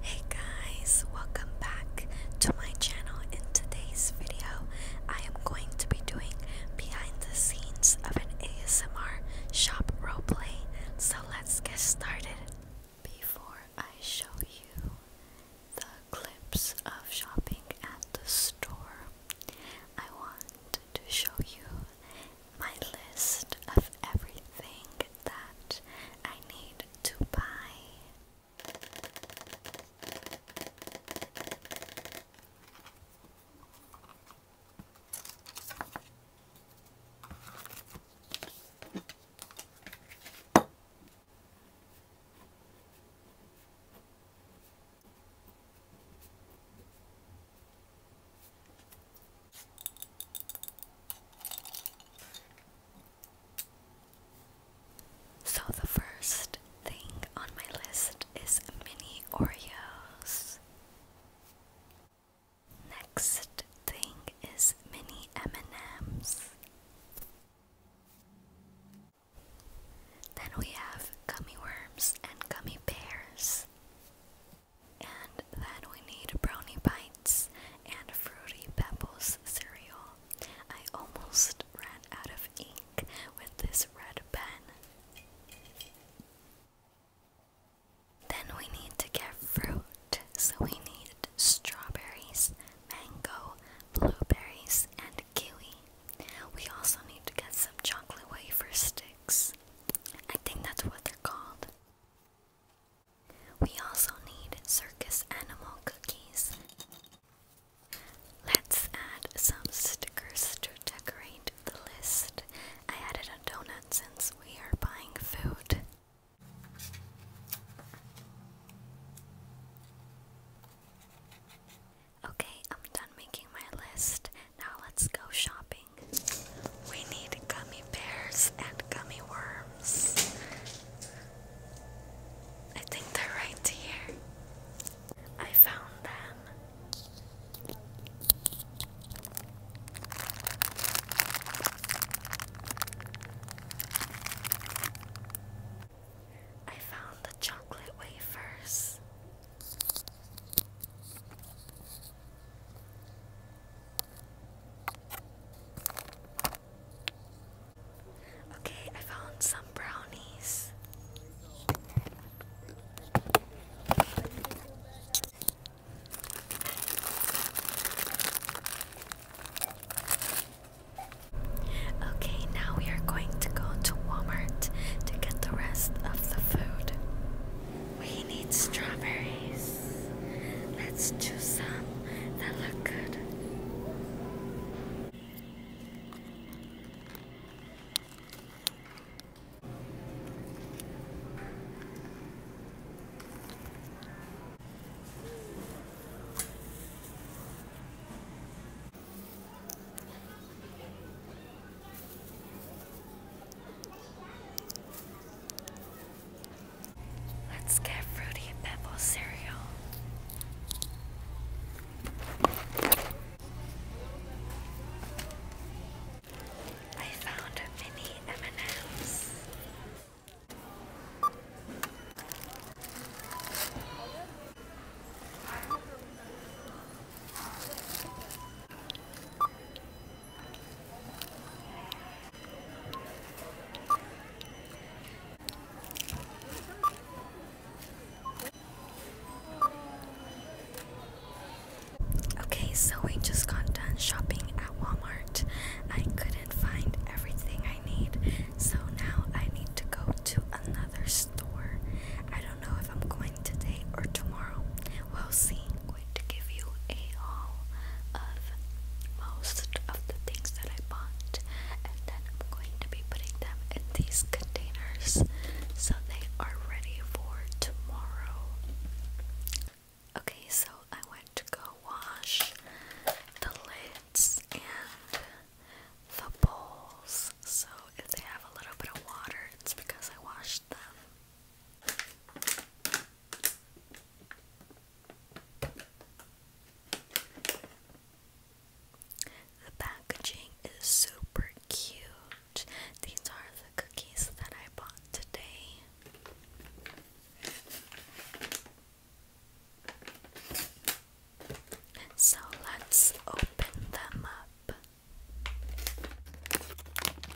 Hey guys, welcome back to my channel. In today's video, I am going to be doing behind the scenes of an ASMR shop roleplay. So let's get started. Before I show you the clips of shopping at the store, I want to show you my list of everything that I need to buy. So, the first thing on my list is mini Oreos. Next thing is mini M&Ms. Then we have gummy worms and gummy bears. And then we need brownie bites and fruity pebbles cereal. I almost ran out of ink with this red pen. Then we need to get fruit, so we need strawberries, mango, blueberries, and kiwi. We also need to get some chocolate wafer sticks. I think that's what they're called. We also need circus animal cookies. Let's add some stickers to decorate the list. I added a donut since we are buying food. Okay, I'm done making my list. Now let's go shopping. We need gummy bears and gummy worms. I think they're right here. I found them. I found the chocolate wafers. Okay, I found some brownies. Okay, now we are going to go to Walmart to get the rest of the food. We need strawberries. Let's choose some that look good. Let's get Fruity Pebble cereal. I found mini M&M's. Okay, so we just got done shopping at Walmart. I couldn't find everything I need, so now I need to go to another store. I don't know if I'm going today or tomorrow. We'll see. I'm going to give you a haul of most of the things that I bought, and then I'm going to be putting them in these containers so they are ready for tomorrow. Okay, so I went to go wash the lids and the bowls. So if they have a little bit of water, it's because I washed them. The packaging is super cute. These are the cookies that I bought today. So let's open them up.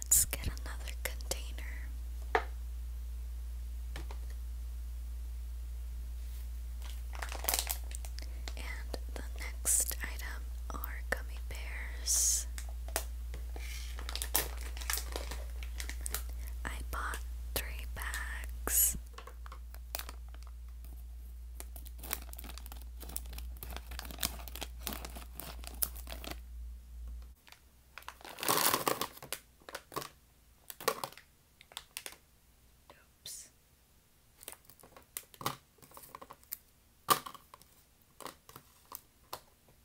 Let's get another container. And the next item are gummy I bought three bags. Oops.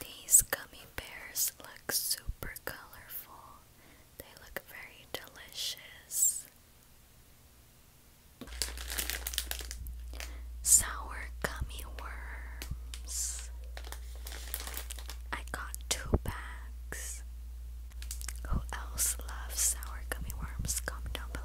These gummy bears look super colorful. They look very delicious. Sour gummy worms. I got two bags. Who else loves sour gummy worms? Comment down below.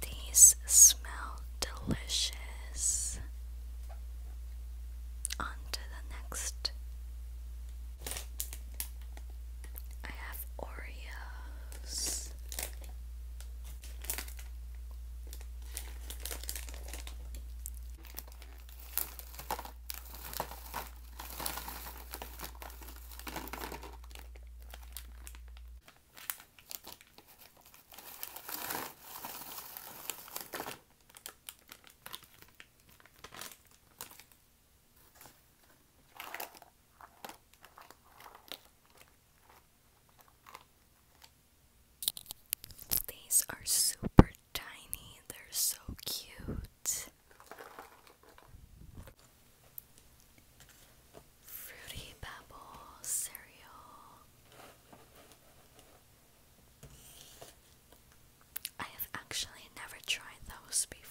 These smell delicious. On to the next. I have Oreos. These are super tiny, they're so cute. Fruity Pebble cereal. I have actually never tried those before.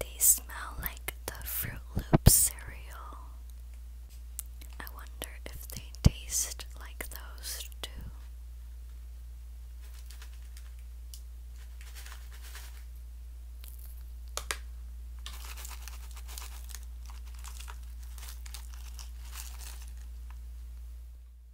They smell like the Fruit Loops cereal. I wonder if they taste like those too.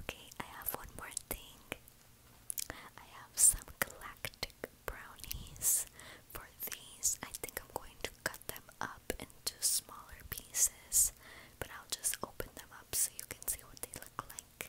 Okay, I have one more thing. I have some galactic brownies. For these, I think I'm going to cut them up into smaller pieces, but I'll just open them up so you can see what they look like.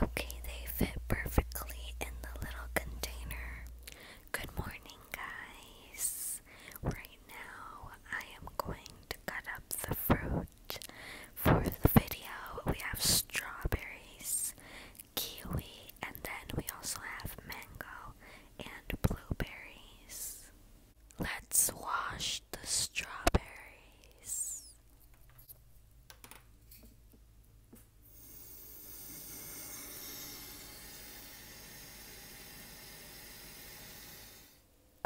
Okay, they fit perfectly in the little container. Good morning, guys. we now I am going to cut up the fruit for the video. We have strawberries, kiwi, and then we also have mango and blueberries. Let's wash the strawberries.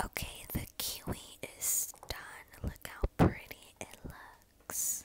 Okay, the kiwi is done. Look how pretty it looks.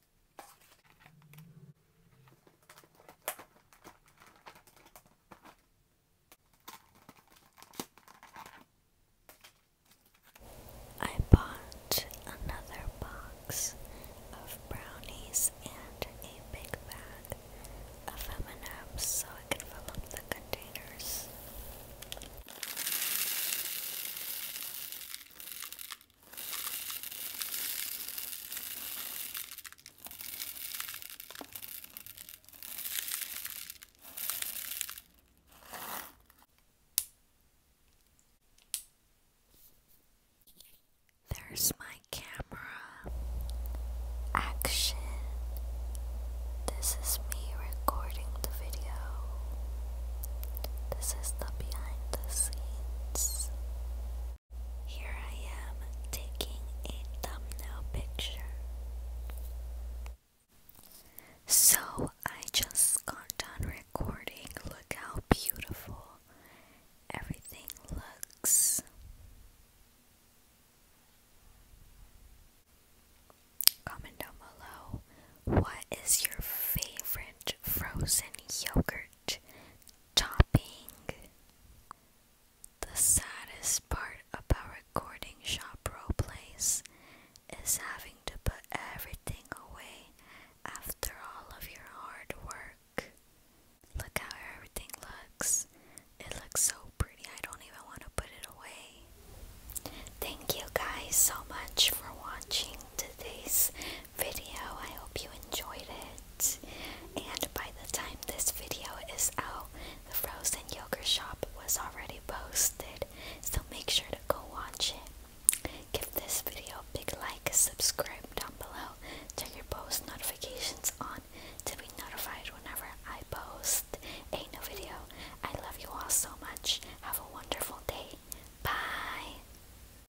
I bought another box of brownies and a big bag of M&M's so I can fill up the containers. There's my camera action. This is me recording the video. This is the behind the scenes here I am taking a thumbnail picture. So I just got done recording. Look how beautiful everything looks. Comment down below what is your favorite frozen yogurt shopping. The saddest part about recording shop roleplays is having to put everything away after all of your hard work. Look how everything looks. It looks so pretty, I don't even want to put it away. Thank you guys so much for watching today's video. I hope you enjoyed it. And by the time this video is out, the frozen yogurt shop was already posted. So make sure to go watch it. Give this video a big like, subscribe down below, turn your post notifications on to be notified whenever I post a new video. I love you all so much. Have a wonderful day. Bye.